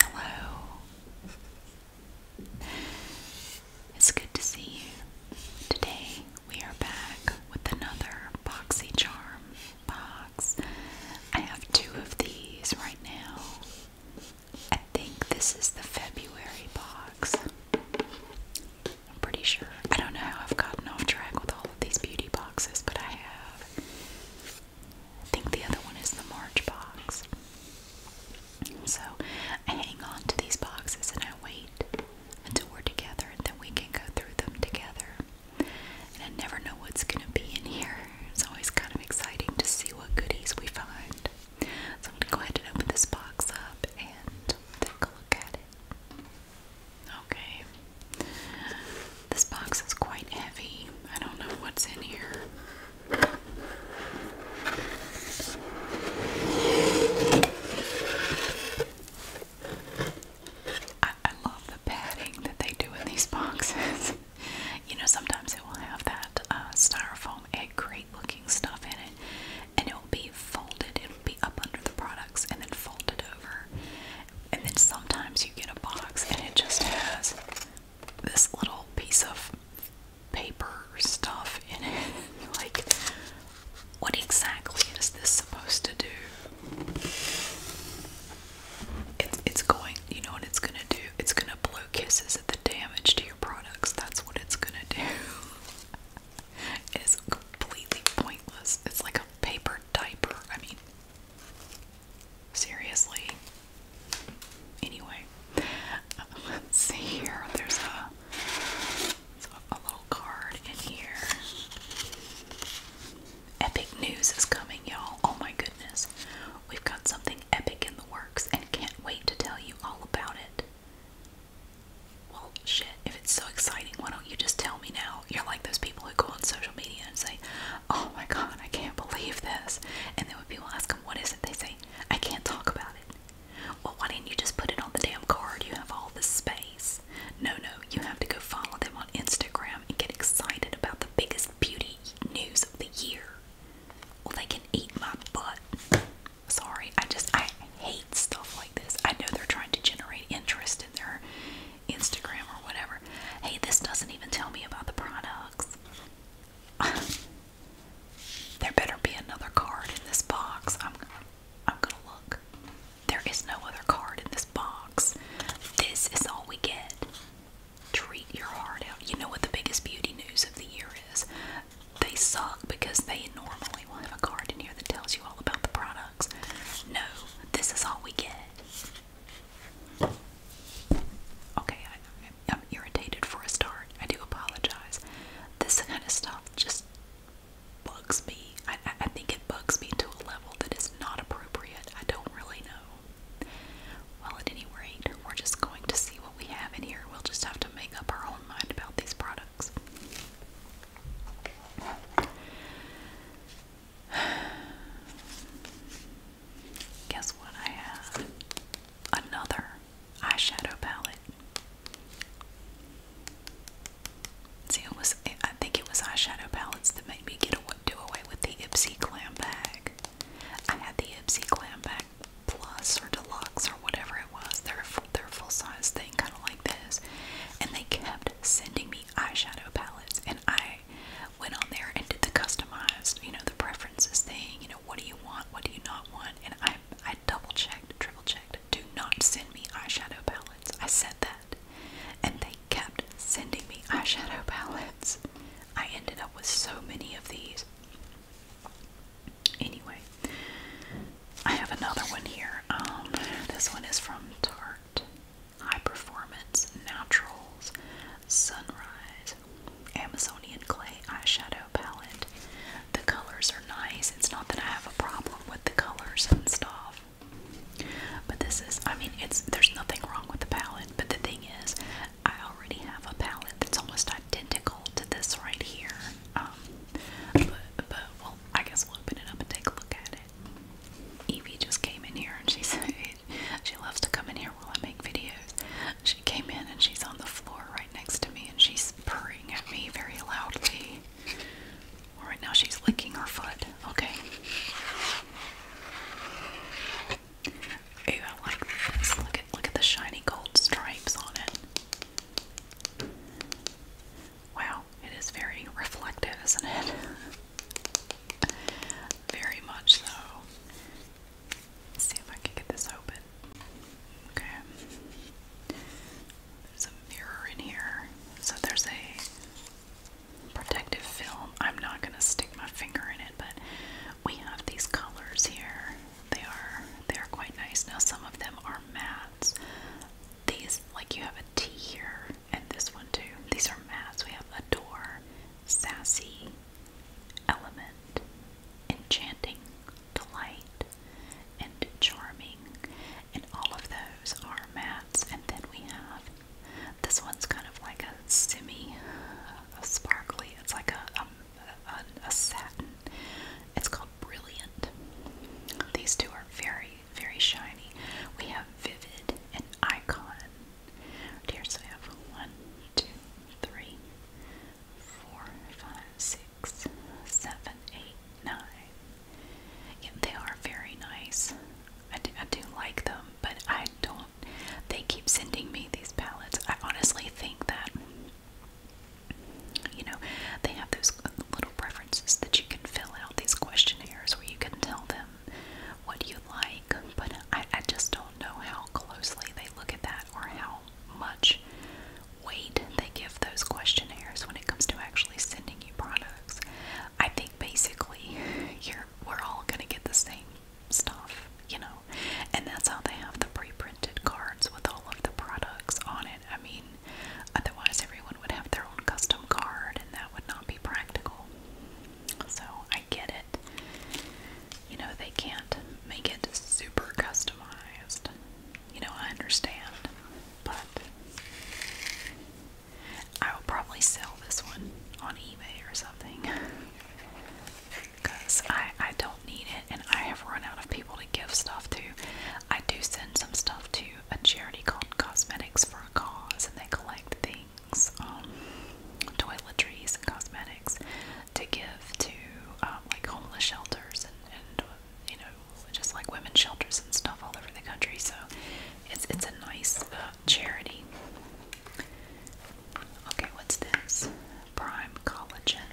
Hello. It's good to see you. Today we are back with another Boxy Charm box. I have two of these right now. I think this is the February box. I'm pretty sure. I don't know how I've gotten off track with all of these beauty boxes, but I have. I think the other one is the March box. So I hang on to these boxes and I wait until we're together and then we can go through them together. And I never know what's going to be in here. It's always kind of exciting to see what goodies we find. So I'm going to go ahead and open this box up and take a look at it. Okay. This box is quite heavy. I don't know what's in here. I, love the padding that they do in these boxes. you know, sometimes it will have that uh, styrofoam egg crate looking stuff in it and it will be folded, it will be up under the products and then folded over. And then sometimes you get a box and it just has this little piece of paper stuff in it. like, what exactly is this supposed to do? It's, it's going, you know what it's gonna do? It's gonna blow kisses at the damage to your products. That's what it's gonna do. it is completely pointless. It's like a paper diaper. I mean, seriously. Anyway, let's see here. There's a, a little card in here. Epic news is coming, y'all. Oh my goodness. We've got something epic in the works and can't wait to tell you all about it. Well, shit, if it's so exciting, why don't you just tell me now? You're like those people who go on social media and say, Oh my god, I can't believe this. And then when people ask them, What is it? They say, I can't talk about it. Well, why didn't you just put it on the damn card? You have all the space. No, no, you have to go follow them on Instagram and get excited about the biggest beauty news of the year. Well, they can eat my butt. Sorry, I just I hate stuff like this. I know they're trying to generate interest in their Instagram or whatever. Hey, this doesn't even tell me about the products. there better be another card in this box. I'm I'm gonna look. There is no other card in this box. This is all we get. Treat your heart out. You know what the biggest beauty news of the year is? They suck because they normally will have a card in here that tells you all about the product. No, this is all we get. Okay, I, am irritated for a start. I do apologize. This kind of stuff just bugs me. I think it bugs me to a level that is not appropriate. I don't really know. Well, at any rate, we're just going to see what we have in here. We'll just have to make up our own mind about these products. Guess what I have? Another eyeshadow palette. See, it was, I think it was eyeshadow palettes that made me get away, do away with the Ipsy Glam Bag. I had the Ipsy Glam Bag Plus or Deluxe or whatever it was. They're their full size thing, kind of like this. And they kept sending me eyeshadow palettes, and I went on there and did the customized, you know, the preferences thing. You know, what do you want? What do you not want? And I, I double checked, triple checked. Do not send me eyeshadow palettes. I said that, and they kept sending me eyeshadow palettes. I ended up with so many of these. Anyway, I have another one here. Um, this one is from Tarte High Performance Naturals Sunrise Amazonian Clay Eyeshadow Palette. The colors are nice. It's not that I have a problem with the colors and stuff. But this is, I mean, it's there's nothing wrong with the palette, but the thing is, I already have a palette that's almost identical to this right here. Um, but, but, well, I guess we'll open it up and take a look at it. Evie just came in here and she said she loves to come in here while I make videos. She came in and she's on the floor right next to me and she's purring at me very loudly. Well, right now she's licking her foot. Okay. Ew, I like this. Look at look at the shiny gold stripes on it. Wow, it is very reflective, isn't it? very much so. see if I can get this open. Okay. There's a mirror in here. So there's a protective film. I'm not going to stick my finger in it, but we have these colors here. They are they are quite nice. Now some of them are mattes these, like you have a T here, and this one too. These are mats. We have Adore, Sassy, Element, Enchanting, Delight, and Charming. And all of those are mats. And then we have this one's kind of like a semi, sparkly. It's like um, a, a, satin. It's called Brilliant. These two are very very shiny. We have Vivid and Icon. Here, I have one, two, three, four, five, six, seven, eight, nine. Yeah, they are very nice. I do, I do like them, but I don't. They keep sending me these palettes. I honestly think that, you know, they have those little preferences that you can fill out these questionnaires where you can tell them what you like, but I, I just don't know how closely they look at that or how much weight they give those questionnaires when it comes to actually sending you products. I think basically you're we're all gonna get the same stuff, you know, and that's how they have the pre-printed cards with all of the products on it. I mean, Otherwise, everyone would have their own custom card, and that would not be practical. So, I get it. You know, they can't make it super customized. You know, I understand. But I will probably sell this one on eBay or something. Because I, I don't need it, and I have run out of people to give stuff to. I do send some stuff to a charity called Cosmetics for a Cause, and they collect things, um, toiletries and cosmetics, to give to um, like homeless shelters and, and you know just like women's shelters and stuff all over the country. So it's it's a nice uh, charity. Okay, what's this? Prime Collagen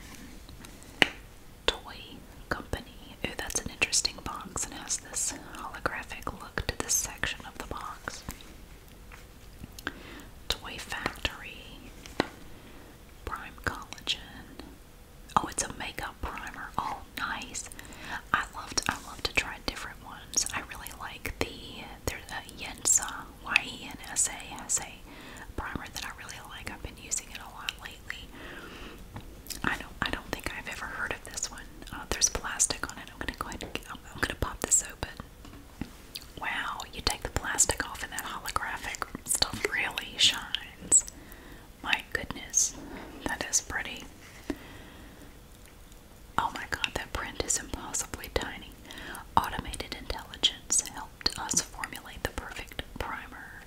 Toy Company. Ooh, that's an interesting box and has this holographic look to this section of the box. Toy Factory, Prime Collagen. Oh, it's a makeup primer. Oh, nice. I loved. I love to try different ones. I really like the there's a Yensa Y E N S A primer that I really like. I've been using it a lot lately. I don't I don't think I've ever heard of this one. Uh, there's plastic on it. I'm gonna go ahead. And, I'm gonna pop this open. Wow, you take the plastic off and that holographic stuff really shines. My goodness, that is pretty. Oh my god, that print is impossibly tiny. Automated intelligence helped us formulate the perfect primer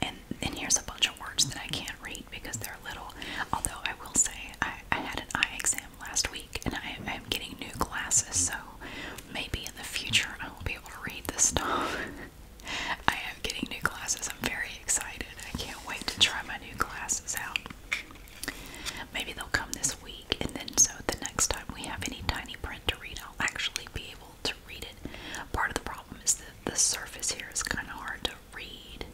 and then here's a bunch of words that I can't read because they're little. Although I will say I, I had an eye exam last week, and I am getting new glasses, so maybe in the future I will be able to read this stuff. I am getting new glasses. I'm very excited. I can't wait to try my new glasses out. Maybe they'll come this week, and then so the next time we have any tiny print to read, I'll actually be able to read it. Part of the problem is that the surface here is kind of hard to read.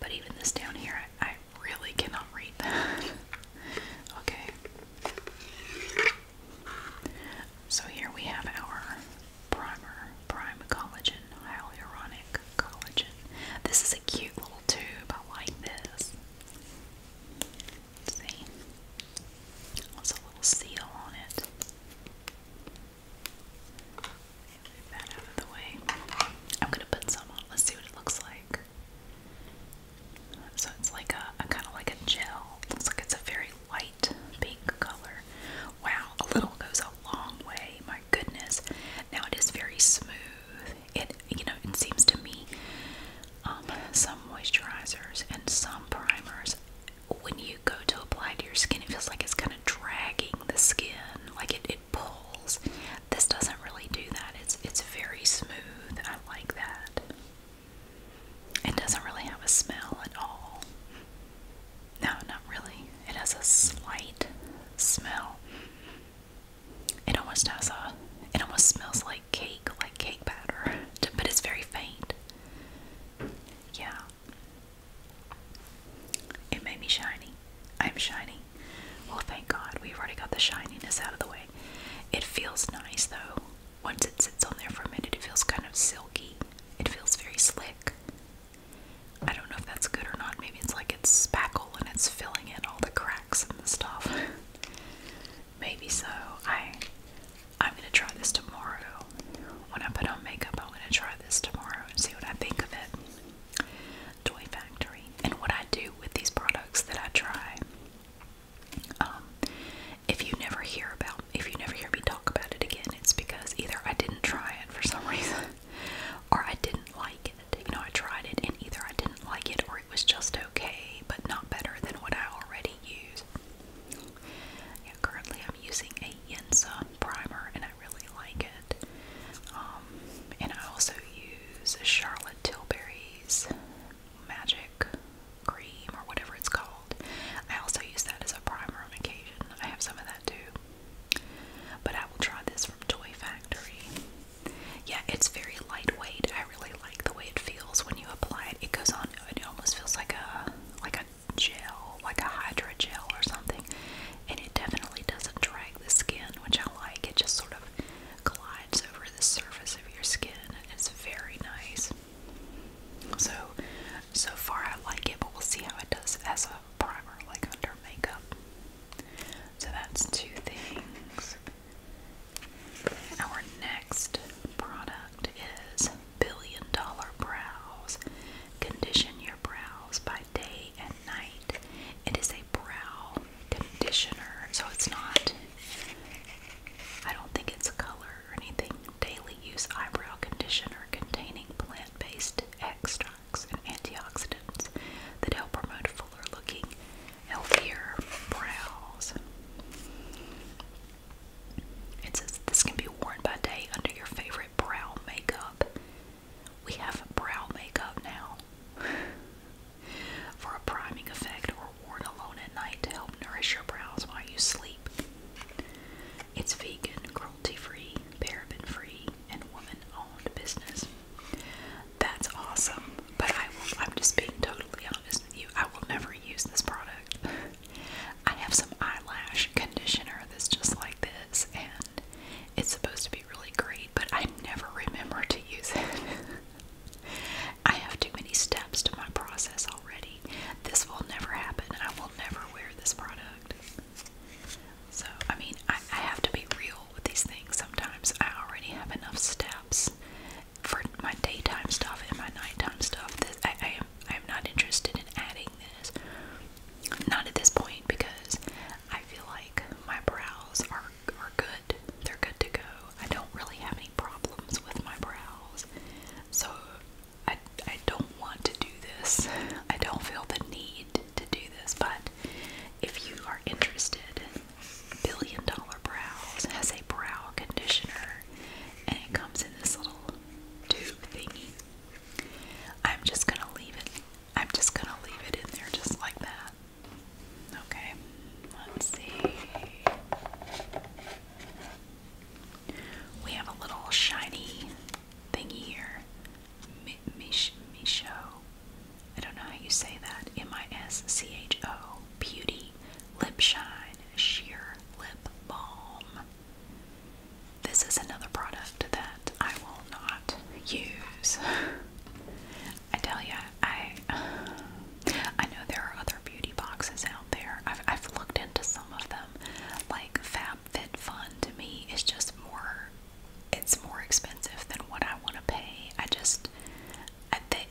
But even this down here, I, really cannot read that. okay. So here we have our primer, prime collagen, hyaluronic collagen. This is a cute little tube. I like this. see. There's a little seal on it. Move that out of the way. I'm gonna put some on. Let's see what it looks like. So it's like a, kind of like a gel. It looks like it's a very light pink color. Wow, a little goes a long way. My goodness. Now it is very smooth. It you know it seems to me um, some moisturizers and some primers when you go to apply to your skin, it feels like it's kind of dragging the skin like it, it pulls this doesn't really do that it's it's very smooth I like that it doesn't really have a smell at all no not really it has a slight smell it almost has a it almost smells like cake like cake batter but it's very faint yeah it made me shiny. I'm shiny. Well, thank God we've already got the shininess out of the way. It feels nice though. Once it sits on there for a minute, it feels kind of silky. It feels very slick. I don't know if that's good or not. Maybe it's like it's spackle and it's filling in all the cracks and stuff. Maybe so. I I'm gonna try this tomorrow. When I put on makeup, I'm gonna try this tomorrow and see what I think of it. Toy Factory. And what I do with these products that I try, um, if you never hear about, if you never hear me talk about it again, it's because either I didn't try it for some reason, or I didn't like it. You know, I tried it and either I didn't like it or it was just okay, but not better than what I already use. Yeah, currently I'm using a Yensa primer and I really like it. Um, and I also use Charlotte Tilbury's Magic Cream or whatever it's called. I also use that as a primer on occasion. I have some of that too. But I will try this from Toy Factory. Yeah, it's very lightweight. I really like the way it feels when you apply it. It goes on, it almost feels like a like a gel, like a hydra gel or something and it definitely doesn't drag the skin, which I like. It just sort of glides over the surface of your skin. and It's very nice. So, so far I like it, but we'll see how it does as a primer, like under makeup. So that's two things. Our next product is Billion Dollar Brows. Condition your brows by day day night. It is a brow conditioner, so it's not, I don't think it's a color or anything. Daily use eyebrow conditioner containing plant based extracts and antioxidants that help promote fuller looking, healthier brows. It says this can be worn by day under your favorite brow makeup we have brow makeup now for a priming effect or worn alone at night to help nourish your brows while you sleep. It's vegan, cruelty free, paraben free, and woman owned business. That's awesome, but I will, I'm just being totally honest with you. I will never use this product. I have some eyelash conditioner that's just like this, and it's supposed to be really great, but I never remember to use it. I have too many steps to my process already. This will never happen. and I will never wear this product. So, I mean, I, have to be real with these things sometimes. I already have enough steps for my daytime stuff and my nighttime stuff. This, I, am, I am not interested in adding this. Not at this point because I feel like my brows are are good. They're good to go. I don't really have any problems with my brows. So I I don't want to do this. I don't feel the need to do this, but if you are interested, Billion Dollar Brows has a brow conditioner and it comes in this little tube thingy. I'm just gonna leave it I'm just gonna leave it in there just like that. Okay, let's see. We have a little shiny thingy here. Mi I don't know how you say that. M-I-S-C-H-O. Beauty Lip Shine Sheer Lip Balm this is another product that I will not use. I tell you, I I know there are other beauty boxes out there. I've I've looked into some of them. Like FabFitFun to me is just more. It's more expensive than what I want to pay. I just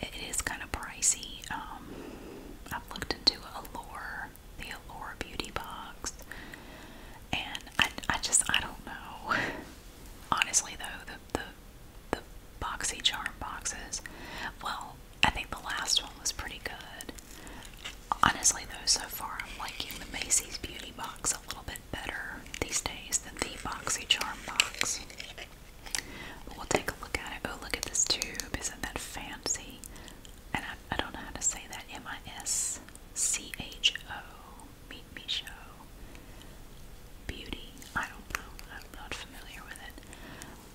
it is kind of pricey. Um, I've looked into Allure, the Allure Beauty Box. And I, I just I don't know. Honestly though, the the the boxy charm boxes. Well, I think the last one was pretty good. Honestly though, so far I'm liking the Macy's Beauty Box a little bit better these days than the boxy charm box. But we'll take a look at it. Oh, look at this tube. Isn't that fancy? And I, I don't know how to say that. M I S C H O. Meet Me Show, Beauty. I don't know. I'm not familiar with it.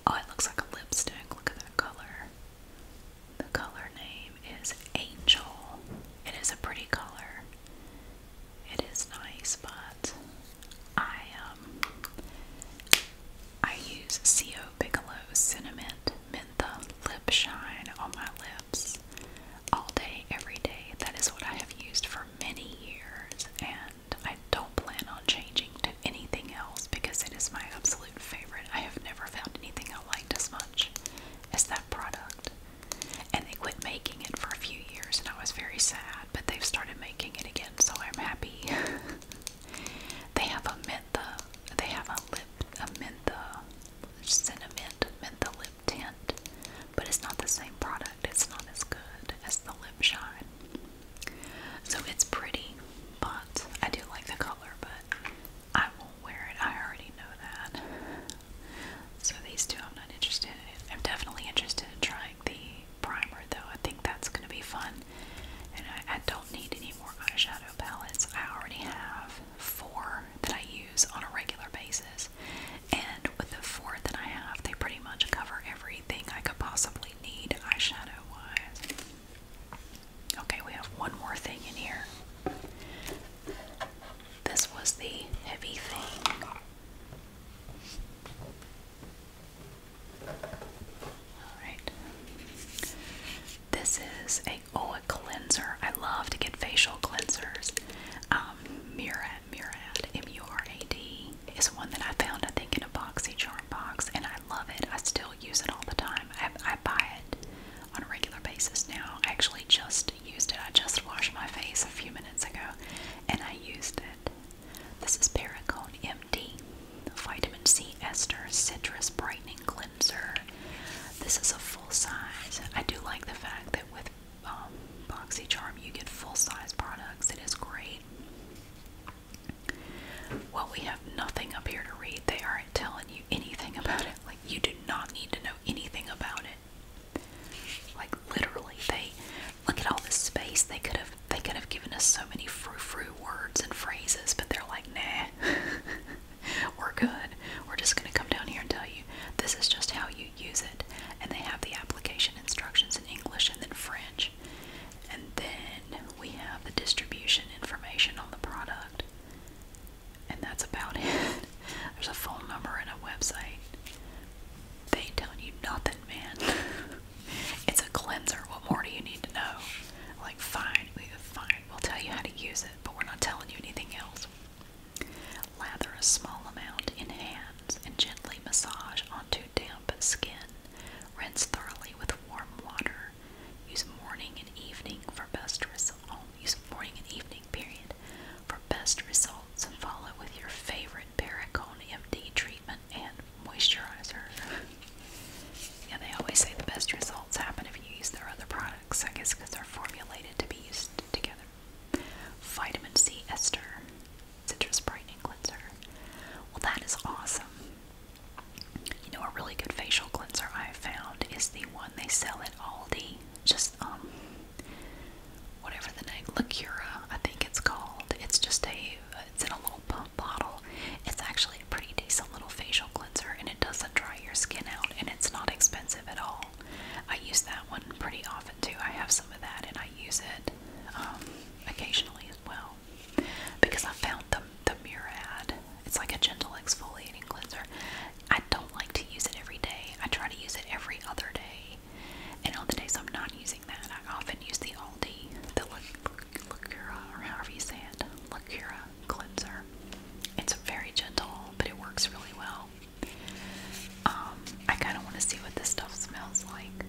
Oh, it looks like a lipstick. Look at that color. The color name is Angel. It is a pretty color. It is nice, but I um I use CO Bigelow Cinnamon Mentha Lip Shine on my lips strips all day, every day. That is what I have used for many years, and I don't plan on changing to anything else because it is my absolute favorite. I have never found anything I liked as much as that product. And they quit making it for a few years, and I was very sad, but they've started making it again, so I'm happy. they have a mentha, they have a lip, a mentha, cinnamon, mentha lip tint, but it's not the same product. It's not as good as the Lip Shine. So it's pretty, but I do like the color, but I won't wear it. I already know that. So these two I'm not interested I'm definitely interested in trying the primer though. I think that's going to be fun. And I don't need any more eyeshadow palettes. I already have four that I use on a regular basis, and with the four that I have, they pretty much cover everything I could possibly need eyeshadow wise. Okay, we have one more thing in here. This was the heavy thing. Alright. This is a oh, a cleanser. I love to get facial cleansers. Um, Murad, Murad, M-U-R-A-D, is one that I found, I think, in a BoxyCharm box, and I love it. I still use it all the time. I, buy it on a regular basis now. I actually just used it. I just washed my face a few minutes ago, and I used it. This is Paracone MD, Vitamin C Ester Citrus Brightening Cleanser. This is a full size. I do like the fact that with um, BoxyCharm, you get full size products. It is great. Well, we have nothing up here to read. They aren't telling you anything about it. Like, you do not need to know anything about it. Like, literally, they look at all this space. They could have they could have given us so many frou-frou words and phrases, but they're like, nah. We're good. We're just gonna come down here and tell you this is just how you use it. And they have the application instructions in English and then French. And then we have the distribution information on the product. And that's about it. There's a phone number and a website. They ain't telling you nothing, man. it's a cleanser. What more do you need to know? Like, fine, fine. We'll tell you how to use it, but we're not telling you anything else. Lather a small amount in hands and gently massage onto damp skin. Rinse thoroughly with warm water. Use morning and evening for best results. Oh, use morning and evening period for best results and follow with your favorite Paracone MD treatment and moisturizer. yeah, they always say the best results happen if you use their other products. I guess because they're formulated to be used together. Vitamin C ester, citrus brightening cleanser. Well, that is awesome. You know, a really good facial cleanser I found is the one they sell at Aldi. Just um, whatever the name, Lacura, I think it's called. It's just a, it's in a little pump bottle. It's actually a pretty decent little facial cleanser, and it doesn't dry your skin out, and it's not expensive at all. I use that one pretty often too. I have some of that and I use it um, occasionally as well because I found the, the Murad. It's like a gentle exfoliating cleanser. I don't like to use it every day. I try to use it every other day. And on the days I'm not using that, I often use the Aldi, the Lacura, or however you say it, Lacura cleanser. It's very gentle, but it works really well. Um, I kind of want to see what this stuff smells like.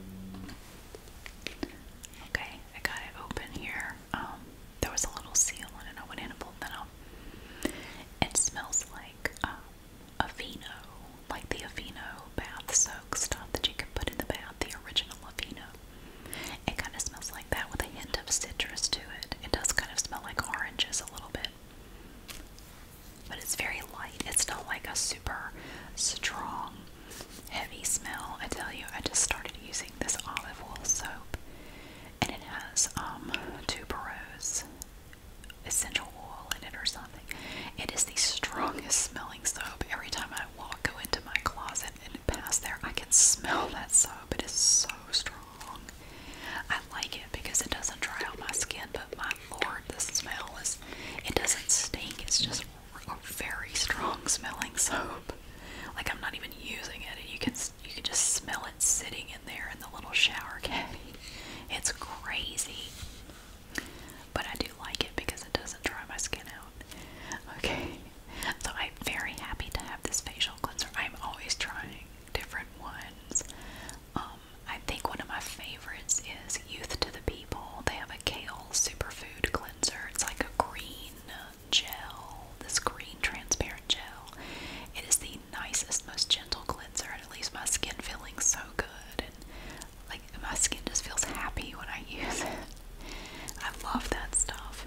Okay, I got it open here. Um, there was a little seal on it. I pulled that out. It smells like um, Aveeno, like the Aveeno bath soak stuff that you can put in the bath, the original Aveeno. It kind of smells like that with a hint of citrus to it. It does kind of smell like oranges a little bit. But it's very light. It's not like a super strong, heavy smell. I tell you, I just started using this olive oil soap, and it has um, tuberose essential oil in it or something. It is the strongest smelling soap. Every time I walk, go into my closet and pass there, I can smell that soap. It is so strong. I like it because it doesn't dry out my skin, but my lord, the smell is it doesn't stink, it's just a very strong smelling soap. Like I'm not even using it, and you can you can just smell it sitting in there in the little shower caddy. It's crazy. But I do like it because it doesn't dry my skin out. Okay. So I'm very happy to have this facial cleanser. I'm always trying different ones. Um, I think one of my favorites is Youth to the People. They have a kale superfood cleanser. It's like a green gel, this green transparent gel. It is the nicest, most gentle cleanser, and it leaves my skin feeling so good. And like my skin just feels happy when I use it. I love that stuff,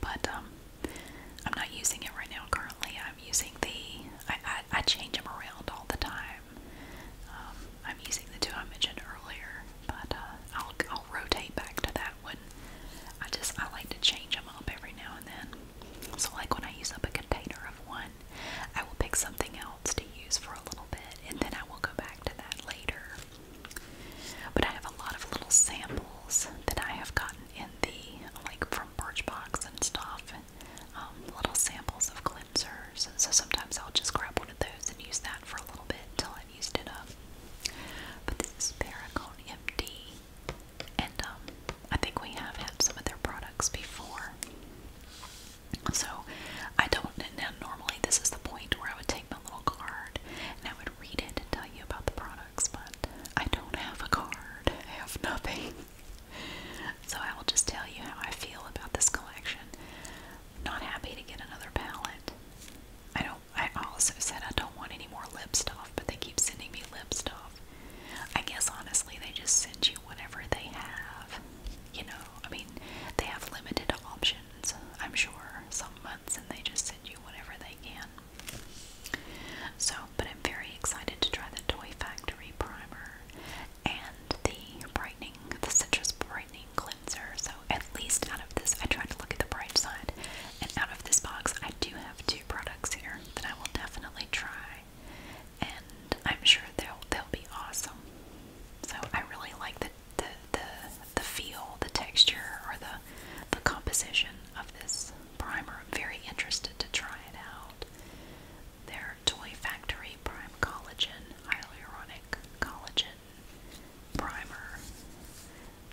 but um, I'm not using it right now. Currently, I'm using the I, I, change them around all the time. Um, I'm using the two I mentioned earlier, but uh, I'll, I'll rotate back to that one. I just, I like to change them up every now and then. So like when I use up a container of one, I will pick something else to use for a little bit, and then I will go back to that later. But I have a lot of little samples that I have gotten in the, like from Birchbox and stuff, um, little samples of cleansers, so sometimes I'll just grab one of those and use that for a little bit until I've used it up. But this is Paracone MD, and um, I think we have had some of their products before. So I don't, now normally this is the point where I would take my little card and I would read it and tell you about the products, but I don't have a card. I have nothing. so I will just tell you how I feel about this collection. Not happy to get another palette. I don't. I also said I don't want any more lip stuff, but they keep sending me lip stuff. I guess honestly, they just send you whatever they have. You know, I mean, they have limited options. I'm sure some months, and they just send you whatever they can. So but I'm very excited to try the Toy Factory primer and the brightening, the citrus brightening cleanser. So at least out of this, I tried to look at the bright side, and out of this box, I do have two products here that I will definitely try, and I'm sure they'll they'll be awesome. So I really like the the the, the feel, the texture, or the the composition of this primer. I'm very interested to try it out their Toy Factory Prime Collagen Hyaluronic Collagen Primer.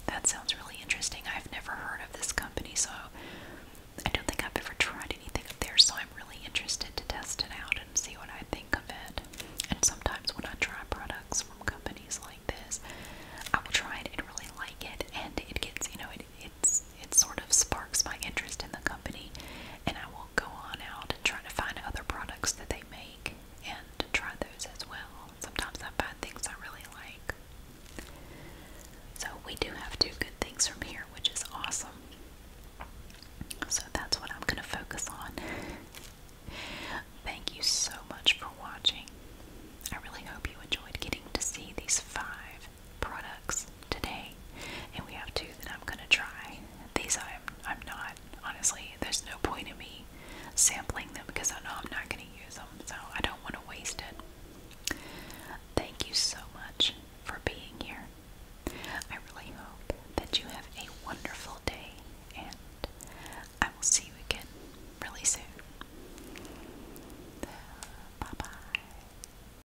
That sounds really interesting. I've never heard of this company, so I don't think I've ever tried anything of theirs, so I'm really interested to test it out and see what I think of it. And sometimes when I try products from companies like this, I will try it and really like it, and it gets, you know, it it it's it sort of sparks my interest in the company and I will go on out and try to find other products that they make and try those as well. Sometimes I find things I really like. So we do have two good things from here, which is awesome. So that's what I'm gonna focus on. Thank you so much for watching. I really hope you enjoyed getting to see these five products today, and we have two that I'm gonna try. These I'm I'm not honestly. There's no point in me sampling them because I know I'm not gonna use them, so I don't want to waste it. Thank you so much for being here. I really hope that you have a wonderful day, and I will see you again really soon. Bye bye.